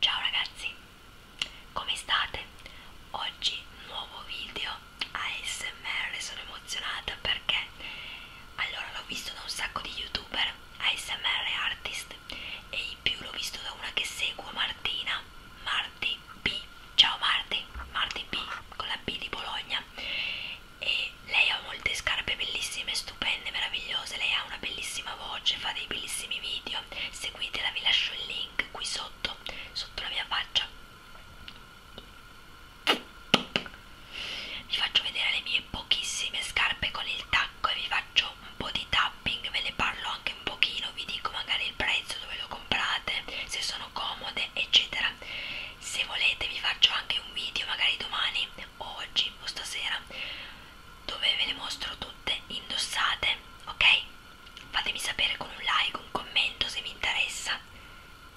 Ciao ragazzi, come state? Oggi nuovo video ASMR, sono emozionata perché allora l'ho visto da un sacco di youtuber ASMR artist e in più l'ho visto da una che seguo Martina, Marti B, ciao Marti, Marti B con la B di Bologna e lei ha un molte scarpe bellissime, stupende, meravigliose. Lei ha una bellissima voce, fa dei bellissimi video. Seguitela, vi lascio il link qui sotto, sotto la mia faccia. Vi faccio vedere le mie pochissime scarpe con il tacco e vi faccio un po' di tapping, ve ne parlo anche un pochino, vi dico magari il prezzo, dove lo comprate, se sono comode, eccetera. Se volete vi faccio anche un video magari domani o oggi o stasera dove ve le mostro tutte indossate, ok? Fatemi sapere con un like, un commento se vi interessa.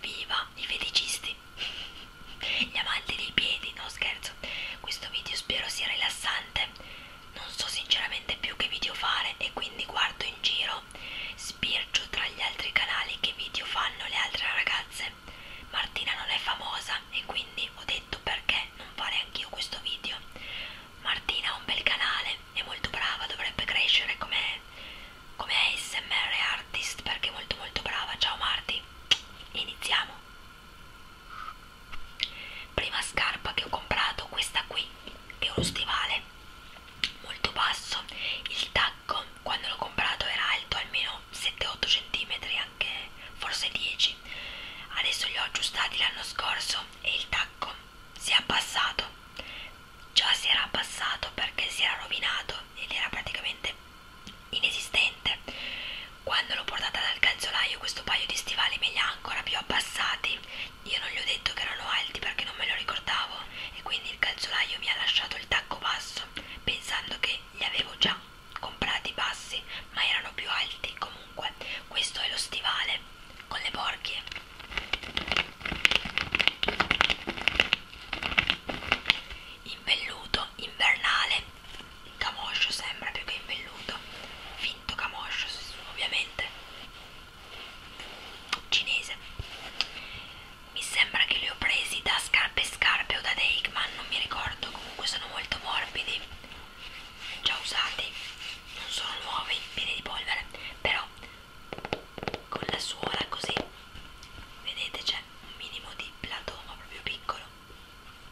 Viva i feticisti, gli amanti dei piedi, no scherzo. Questo video spero sia rilassante. Non so sinceramente più che video fare e quindi guardo in giro, spircio tra gli altri canali che video fanno le altre ragazze. Martina non è famosa e quindi ho detto detto perché non fare anch'io questo video. Martina ha un bel canale, è molto brava, dovrebbe crescere come, come ASMR artist perché è molto molto brava. Ciao Marti, iniziamo. Prima scarpa che ho comprato, questa qui, che è uno stivale molto basso. Il tacco, quando l'ho comprato, era alto almeno 7-8 cm, anche forse 10 adesso li ho aggiustati l'anno scorso e il tacco si è abbassato già si era abbassato perché si era rovinato ed era praticamente inesistente quando l'ho portata dal calzolaio questo paio di stivali me li ha ancora più abbassati io non gli ho detto che erano alti perché non me lo ricordavo e quindi il calzolaio mi ha lasciato il tacco basso pensando che li avevo già comprati bassi ma erano più alti comunque questo è lo stivale con le borchie in velluto invernale camoscio sembra più che in velluto finto camoscio ovviamente cinese mi sembra che li ho presi da scarpe scarpe o da Deikman non mi ricordo comunque sono molto morbidi già usati non sono nuovi pieni di polvere però con la suola così vedete c'è un minimo di platoma proprio piccolo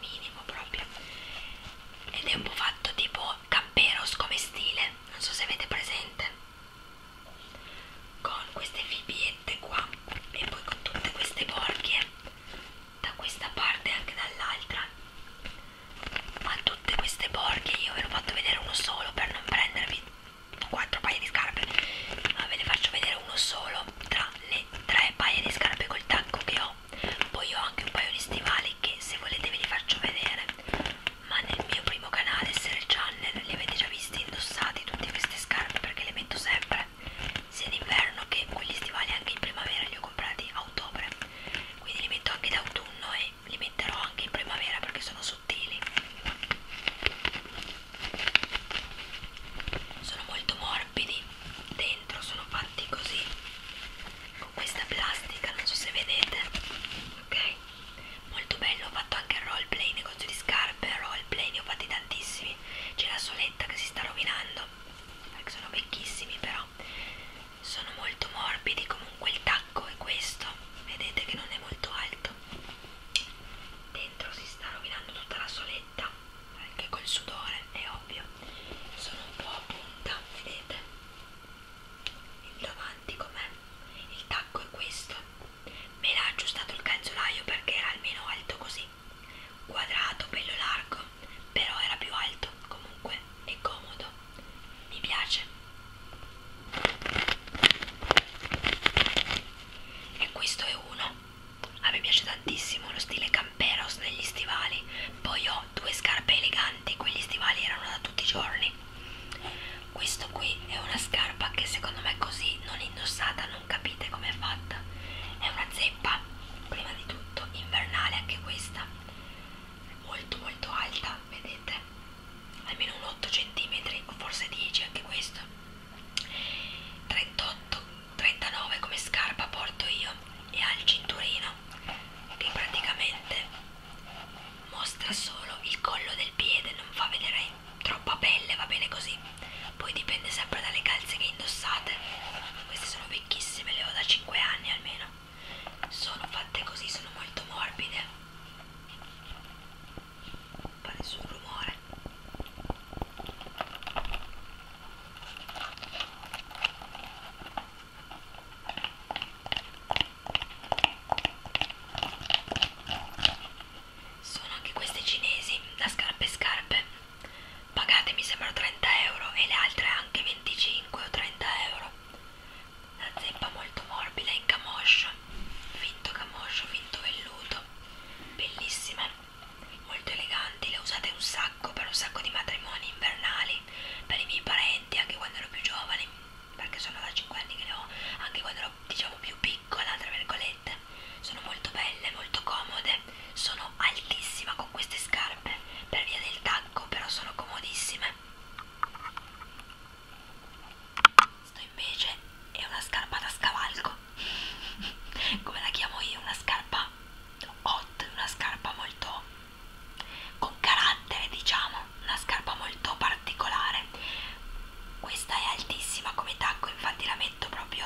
minimo proprio ed è un po' fatto tipo camperos come stile non so se avete presente con queste fibiette qua e poi con tutte queste borchie da questa parte e anche dall'altra ma tutte queste borchie io ve ne ho fatto vedere uno solo per non prendervi quattro paia di scarpe ma ve ne faccio vedere uno solo tra le tre paia di scarpe col tacco che ho poi ho anche un paio di stivali che se volete ve li faccio vedere ma nel mio primo canale SR Channel li avete già visti indossati tutte queste scarpe perché le metto sempre sia d'inverno che quelli stivali anche in primavera li ho comprati a ottobre quindi li metto anche d'autunno e li metterò anche in primavera perché sono sottili sono molto morbidi dentro sono fatti così con questa plastica non so se vedete ok molto bello ho fatto anche roleplay negozio di scarpe roleplay ne ho fatti tantissimi c'è la soletta che si sta rovinando perché sono vecchissimi però sono molto morbidi comunque il tacco è questo vedete che non è molto alto dentro si sta rovinando tutta la soletta anche col sudore è ovvio sono un po' a punta vedete il davanti com'è il tacco è questo Me l'ha aggiustato il calzolaio perché era almeno alto così. Quadrato, bello largo, però era più alto comunque e comodo. Mi piace. E questo è uno. A me piace tantissimo lo stile camperos negli stivali. Poi ho due scarpe eleganti, quegli stivali erano da tutti i giorni. Questo qui è una scarpa che secondo me così non indossata non capite com'è fatta è una zeppa prima di tutto invernale anche questa molto molto alta vedete almeno un 8 cm o forse 10 anche questo 38 39 come scarpa porto io e ha il cinturino che praticamente mostra solo il collo del piede non fa vedere troppa pelle, va bene così. Poi dipende sempre dalle calze che indossate. Queste sono vecchissime, le ho da 5 anni almeno. Sono fatte così, sono molto morbide. Non fa nessun rumore sono anche queste cinesi da scarpe scarpe pagate mi sembrano 30 euro e le altre anche 25 o 30 euro la zeppa molto morbida in camoscio finto camoscio finto velluto bellissime molto eleganti le usate un sacco per un sacco di matrimoni invernali per i miei parenti anche quando ero più giovane perché sono da 5 anni che le ho anche quando ero diciamo più piccola piccola tra virgolette sono molto belle molto comode sono altissima con queste scarpe per via del tacco però sono comodissime questo invece è una scarpa da scavalco come la chiamo io una scarpa hot una scarpa molto con carattere diciamo una scarpa molto particolare questa è altissima come tacco infatti la metto proprio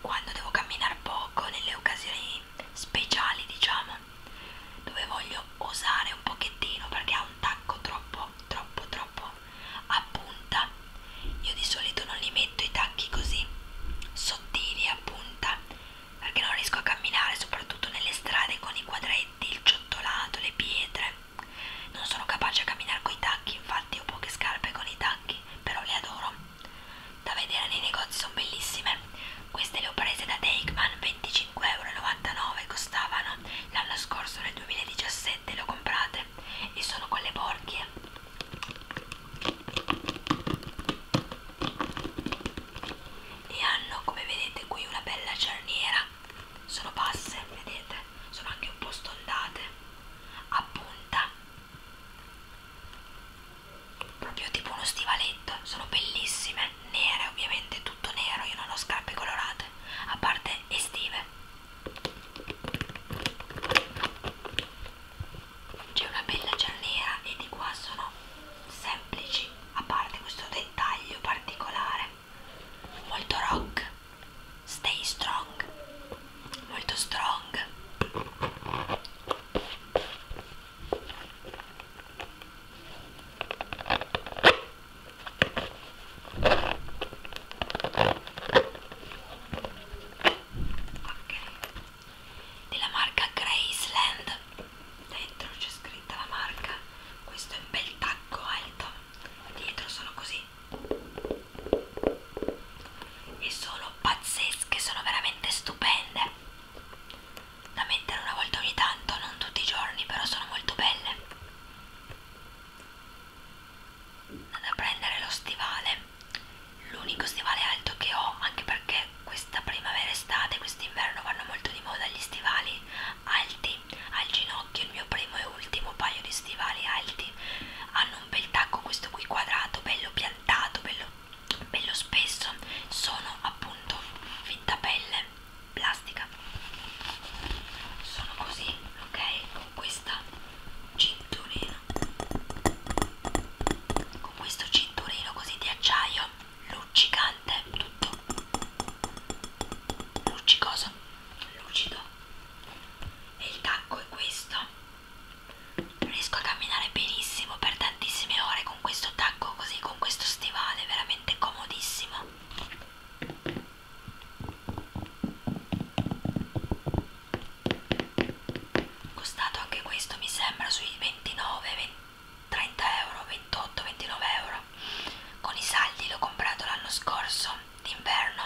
quando devo camminare poco nelle occasioni speciali diciamo dove voglio osare un pochettino perché ha un tacco troppo troppo troppo a punta io di solito non li metto i tacchi così sottili a punta perché non riesco a camminare soprattutto nelle strade con i quadretti il ciottolato le pietre non sono capace a camminare coi tacchi, infatti ho poche scarpe con i tacchi, però le adoro. Da vedere nei negozi sono bellissime. Queste le ho prese da Takeman, 25,99€ costavano. L'anno scorso nel 2017 le ho comprate e sono con le borchie. E hanno come vedete qui una bella cerniera sono basse, vedete, sono anche un po' stondate, a punta, proprio tipo uno stivaletto, sono bellissime, nere ovviamente, tutto nero, io non ho scarpe colorate, a parte estive. C'è una bella giallera e di qua sono semplici, a parte questo dettaglio particolare molto rock stay strong molto strong ok della marca Graceland dentro c'è scritta la marca questo è un bel tacco alto dietro sono così e sono pazzesche, sono veramente stupende da mettere una volta ogni tanto, non tutti i giorni, però sono molto belle. Andate a prendere lo stivale, l'unico stivale alto che ho, anche perché questa primavera, estate, quest'inverno vanno molto di moda gli stivali alti al ginocchio il mio primo e ultimo paio di stivali alti hanno un bel tacco questo qui quadrato bello piantato bello, bello spesso sono appunto fitta pelle plastica sono così ok con questa cinturino con questo cinturino così di acciaio luccicante tutto luccicoso lucido e il tacco è questo riesco a camminare benissimo per tantissime ore con questo tacco così con questo stivale veramente comodissimo costato anche questo mi sembra sui 29 20, 30 euro 28 29 euro con i saldi l'ho comprato l'anno scorso d'inverno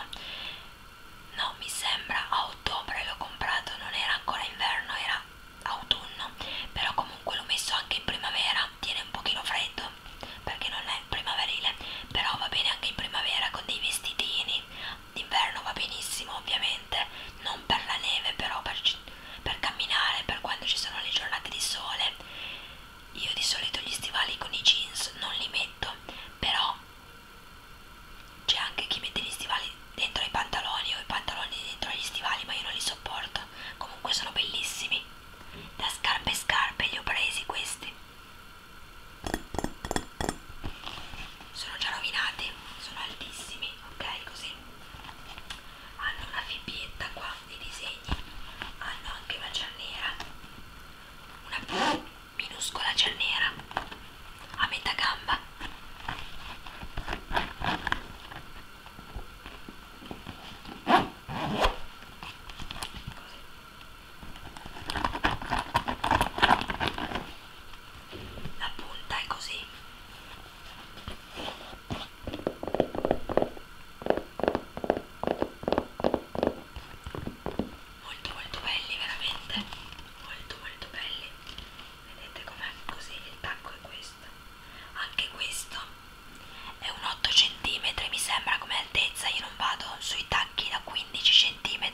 no mi sembra a ottobre l'ho comprato non era ancora inverno era autunno però comunque l'ho messo anche in primavera tiene un pochino freddo perché non è primaverile però va bene anche in primavera con dei vestitini d'inverno va benissimo ovviamente non per la neve però per, per camminare per quando ci sono le giornate di sole io di solito gli stivali con i jeans non li metto, però c'è anche chi mette gli stivali dentro ai pantaloni o i pantaloni dentro agli stivali, ma io non li sopporto. Comunque sono bellissimi. Da scarpe e scarpe li ho presi questi. Sono già rovinati, sono altissimi, ok? Così hanno una fibbietta qua di disegno pegni hanno anche una giallera, una minuscola giallera a metà gamba. La punta è così molto molto belli veramente molto molto belli vedete com'è così il tacco è questo anche questo è un 8 cm mi sembra come altezza io non vado sui tacchi da 15 cm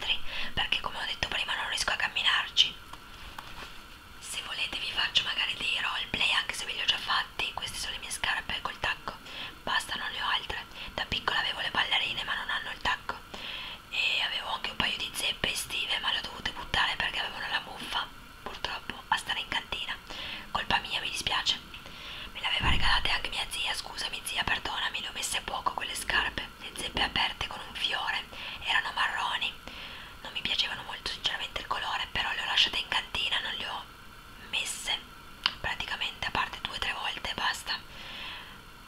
perché come ho detto prima non riesco a camminarci se volete vi faccio magari dei roleplay anche se ve li ho già fatti Infatti queste sono le mie scarpe col tacco Basta non le ho altre Da piccola avevo le ballerine ma non hanno il tacco E avevo anche un paio di zeppe estive ma le ho dovute buttare perché avevano la muffa Purtroppo a stare in cantina Colpa mia mi dispiace Me le aveva regalate anche mia zia Scusami zia perdonami le ho messe poco quelle scarpe Le zeppe aperte con un fiore Erano marroni Non mi piacevano molto sinceramente il colore Però le ho lasciate in cantina Non le ho messe praticamente a parte due o tre volte basta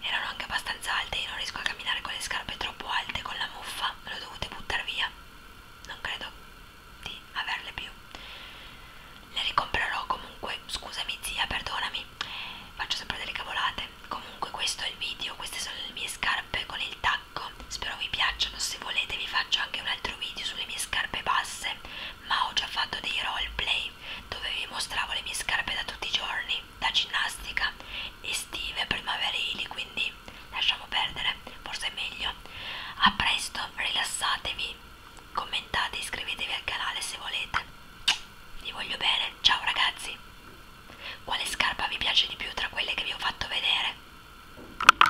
erano anche abbastanza alte io non riesco a camminare con le scarpe troppo alte con la muffa me l'ho dovute buttare via non credo di averle più le ricomprerò comunque scusami zia perdonami faccio sempre delle cavolate comunque questo è il video queste sono le mie scarpe con il tacco spero vi piacciono, se volete vi faccio anche un altro video sulle mie scarpe basse, ma ho già fatto dei roleplay dove vi mostravo le mie scarpe da tutti i giorni, da ginnastica, estive, primaverili, quindi lasciamo perdere, forse è meglio. A presto, rilassatevi, commentate, iscrivetevi al canale se volete. Vi voglio bene, ciao ragazzi! Quale scarpa vi piace di più tra quelle che vi ho fatto vedere?